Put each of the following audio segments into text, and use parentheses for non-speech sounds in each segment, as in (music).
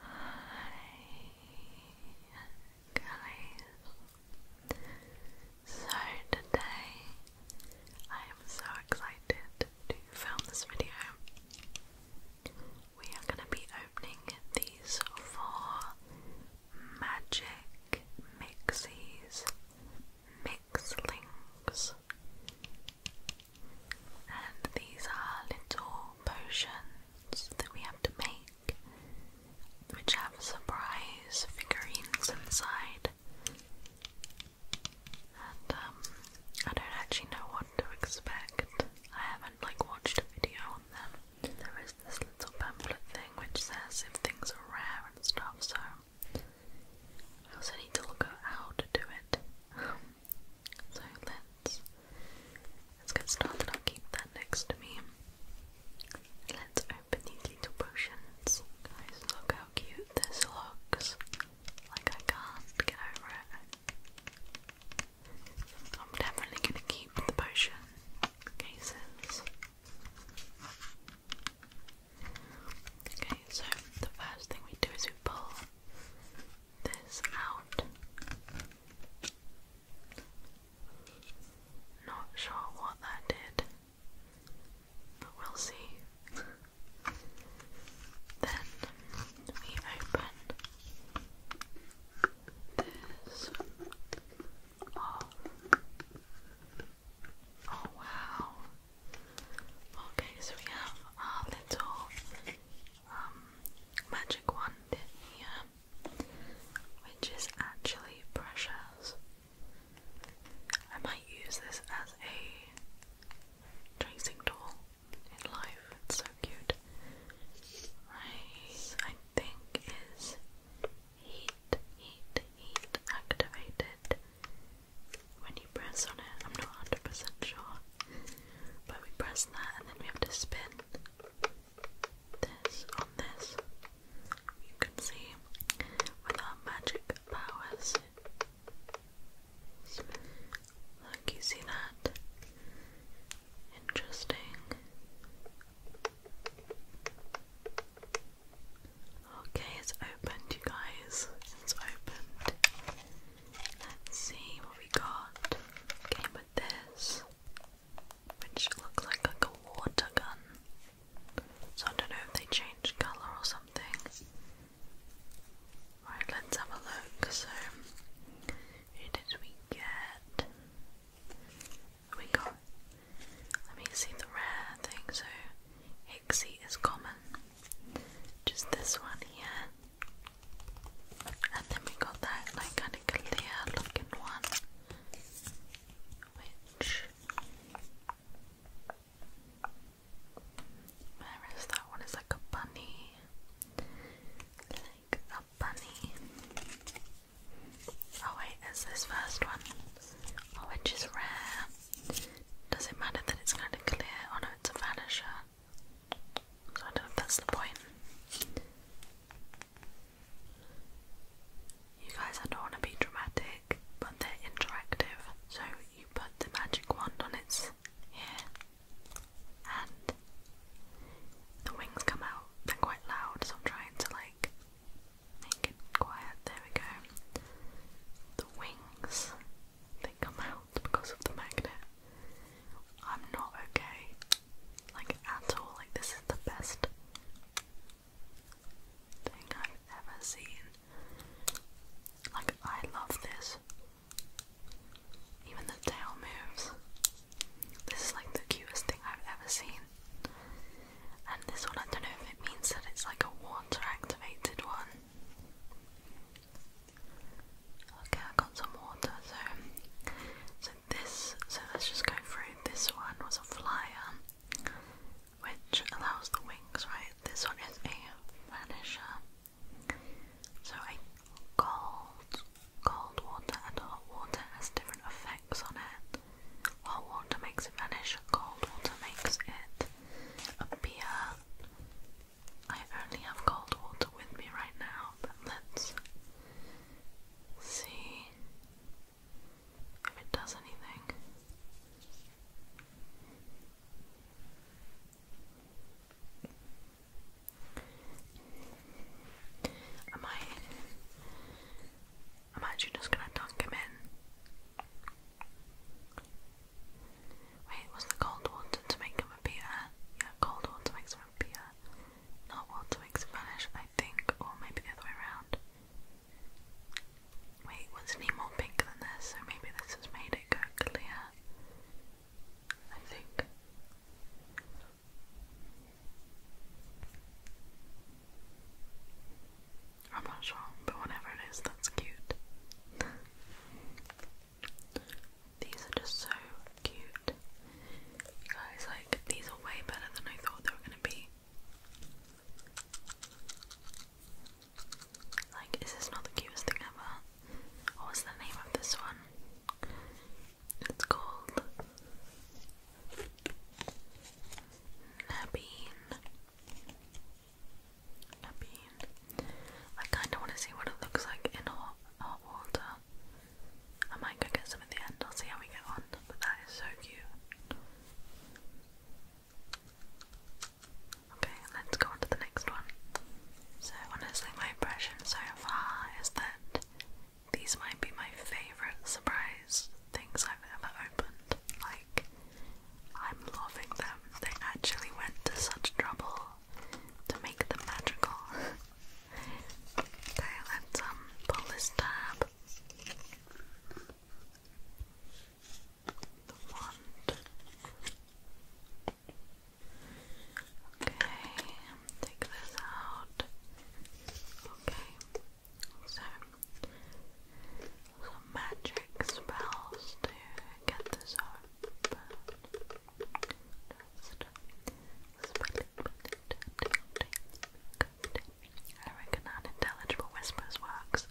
Hi guys. So today I am so excited to film this video. We are going to be opening these four magic mixies, mixlings. And these are little potions that we have to make, which have surprise figurines inside. And um, I don't actually know what to expect. I haven't like watched a video on them. There is this little pamphlet thing which says if things are rare and stuff, so I also need to look at how to do it. (laughs) So let's let's get started. I'll keep that next to me. Let's open these little potions. Guys, look how cute this looks. Like I can't get over it. I'm definitely gonna keep the potion cases. Okay, so the first thing we do is we pull this out. Not sure what that did, but we'll see. then we open this. Oh. oh, wow. Okay, so we have our little um, magic wand here, which is actually precious. I might use this as a tracing tool in life. so cute. Right, I think is heat, heat, heat activated when you press on it. I'm not 100% sure. But we press that and then we have to spin this on this. You can see with our magic powers. Look, you see that? Interesting. Okay, it's opened, you guys. It's opened. Let's see what we got. Came with this, which looks like, like a water gun. So I don't know if they changed colour or something. Right, let's have a look. So, who did we get? We got. Let me see the rare thing. So, Hixie is common. Just this one here. And then we got that like kind of clear looking one, which that one? It's like a bunny, like a bunny. Oh wait, it's this first one, oh, which is rare. Does it matter that it's kind of clear? Oh no, it's a vanisher. I don't know if that's the point. You guys, I don't want to be dramatic, but they're interactive. So you put the magic wand on its ear, and the wings come out. They're quite loud, so I'm trying to like make it quiet. There we go. The wings they come out because of the magnet. I'm not okay. Like, at all. Like, this is the best thing I've ever seen. Like, I love this. Even the tail moves. This is like the cutest thing I've ever seen. And this one, I don't know if it means that it's like a water activated one. Okay, I got some water, so so this so let's just go through. This one was a flyer which allows the wings, right? This one is a vanisher. So a cold cold water and hot water has different effects on it. Hot water makes it vanish, cold water makes it appear I only have cold water with me right now, but let's see if it does anything. Am I? I'm just gonna dunk him in. Wait, was the cold water to make him appear? Yeah, cold water makes him appear. Not water makes him vanish, I think, or maybe the other way around. Wait, wasn't more pink than this? So maybe this has made it go clear. I think. I'm not sure, but whatever it is, that's cute. (laughs) These are just so cute. guys, like, these are way better than I thought they were gonna be. Like, is this not the cutest thing ever? What was the name of this one? It's called Nabeen. I kind of want to see what it looks like in hot, hot water. I might go get some at the end, I'll see how we get on, that is so cute. Okay, let's go on to the next one. So, honestly, my impression so far is that these might be my favourite surprise things I've ever opened. Like, I'm loving them. They actually went to such trouble to make them magical. okay, let's um, pull this tab. The wand. Okay, take this out. Okay, so some magic spells to get this open. I reckon that unintelligible whispers works.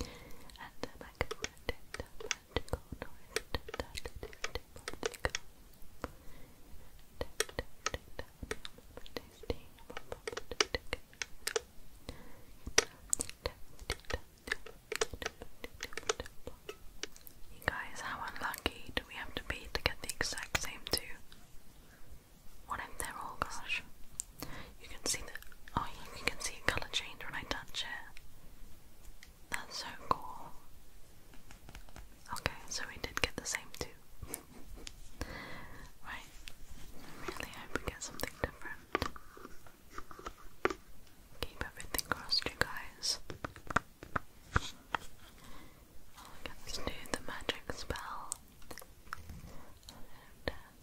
And a magnetic, magical noise. Tasty. You guys, how unlucky do we have to be to get the exact same two? What if they're all gosh? You can see the oh you can see colour change when I touch it. That's so cool. Okay, so we did get the same two. Right, I really hope we get something different. Keep everything crossed, you guys. Well, let's do the magic spell. Uh,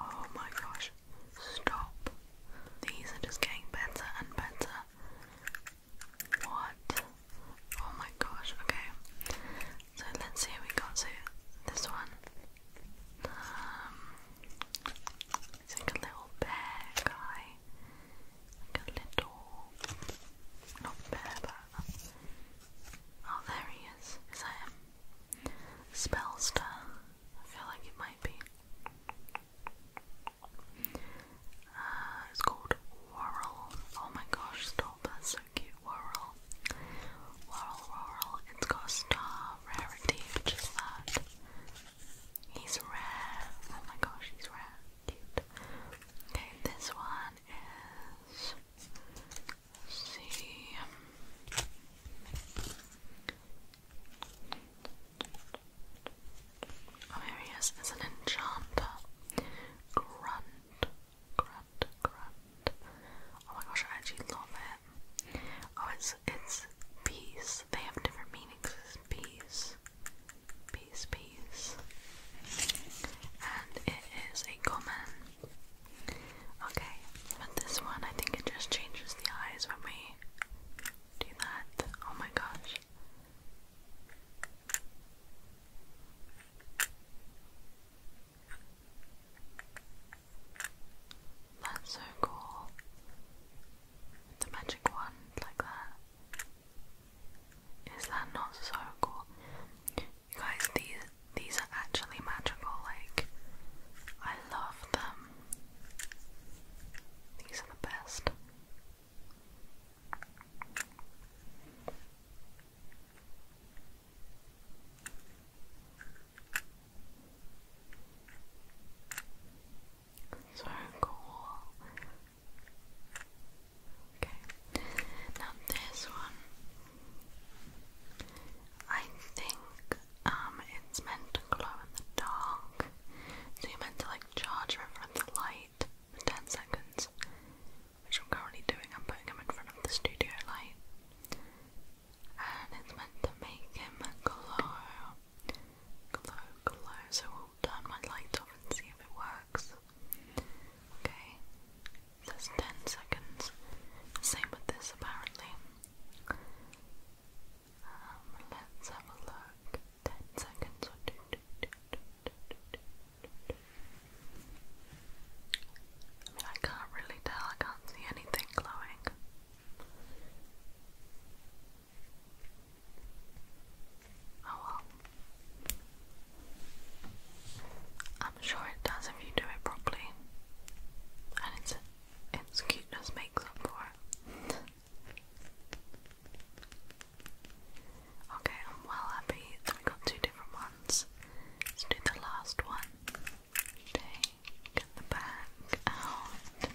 oh my gosh, stop. These are just getting better and better. What? Oh my gosh, okay. So let's see what we got. So this one. Um, it's like a little bear guy. Like a little not bear but Oh there he is. Is that him? spell I feel like it might be. Uh, it's called Whirl. Oh my gosh, stop. That's so cute. Whirl. Whirl, Whirl. It's got star rarity, which that. He's rare. Oh my gosh, he's rare. Cute. Okay, this one is see. Oh, here is. an enchanter. Grunt. Grunt. Grunt. Oh my gosh, I actually love it. Oh, it's it's peace. They have different meanings. peace. Peace, peace. And it is a common. Okay, but this one I think it just changes the eyes when we do that. Oh my gosh. That's so cool. The magic wand like that. Is that not so cool? guys, these these are actually magical. Like, I love them. These are the best. So cool. Okay. Now this one I think um, it's meant to glow in the dark. So you're meant to like charge them in front of the light for 10 seconds. Which I'm currently doing, I'm putting him in front of the studio light. And it's meant to make him glow. Glow, glow. So we'll turn my light off and see if it works. Okay says 10 seconds. Same with this, apparently. Um, let's have a look. 10 seconds. I can't really tell, I can't see anything glowing. Oh well. I'm sure it does if you do it properly. And it's its cuteness makes up for it. okay, I'm well happy we got two different ones. Let's do the last one. Take the back out.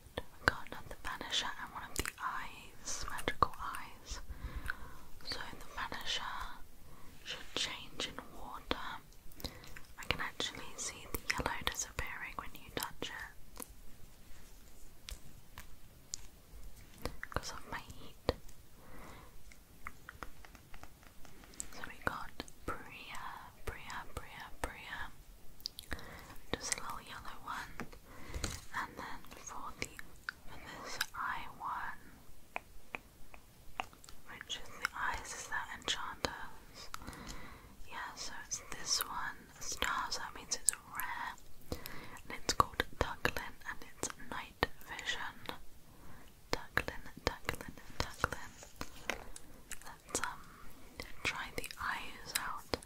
it. I can Vanisher and one of the eyes, magical eyes. So the Vanisher should change in water. I can actually see the yellow disappearing when you touch it. Because of my heat. So we got Bria, Bria, Bria, Bria just a little yellow one, and then for the for eye one, which is the eyes is that enchanters. Yeah, so it's this one, stars. That means it's red, and it's called Ducklin, and it's night vision. Ducklin, Ducklin, Ducklin. Let's um, try the eyes out.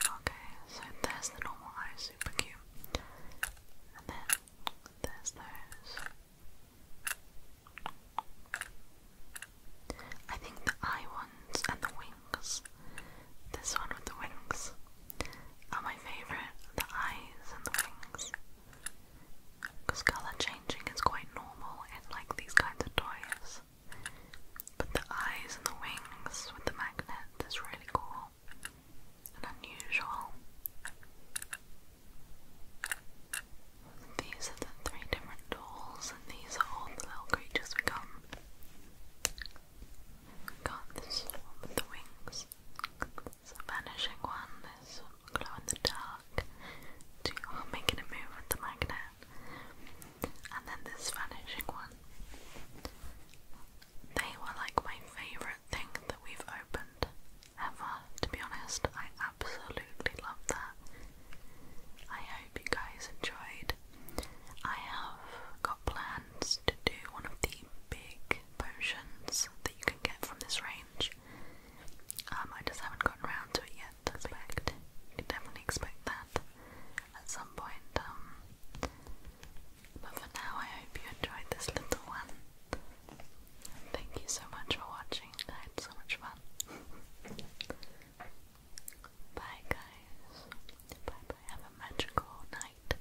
Okay, so there's the normal eyes, super cute. And then there's those. I think the eye ones and the wings. This one with the wings are my favourite. The eyes and the wings. Because colour changing is quite normal in like these kinds of toys. But the eyes and the wings with the magnet is really cool and unusual. These are the three different dolls, and these are all the little creatures we got. got this one with the wings. It's vanishing one, this glow in the dark. Two making a move with the magnet. And then this vanishing one. They were like my favourite thing that we've opened ever, to be honest. I absolutely love that. I hope you guys enjoyed. I have got plans to do one of the big potions that you can get from this range. Um, I just haven't gotten around to it yet definitely expect that at some point. Um, but for now, I hope you enjoyed this little one. Thank you so much for watching. I had so much fun. (laughs) bye, guys. bye. Have a magical night.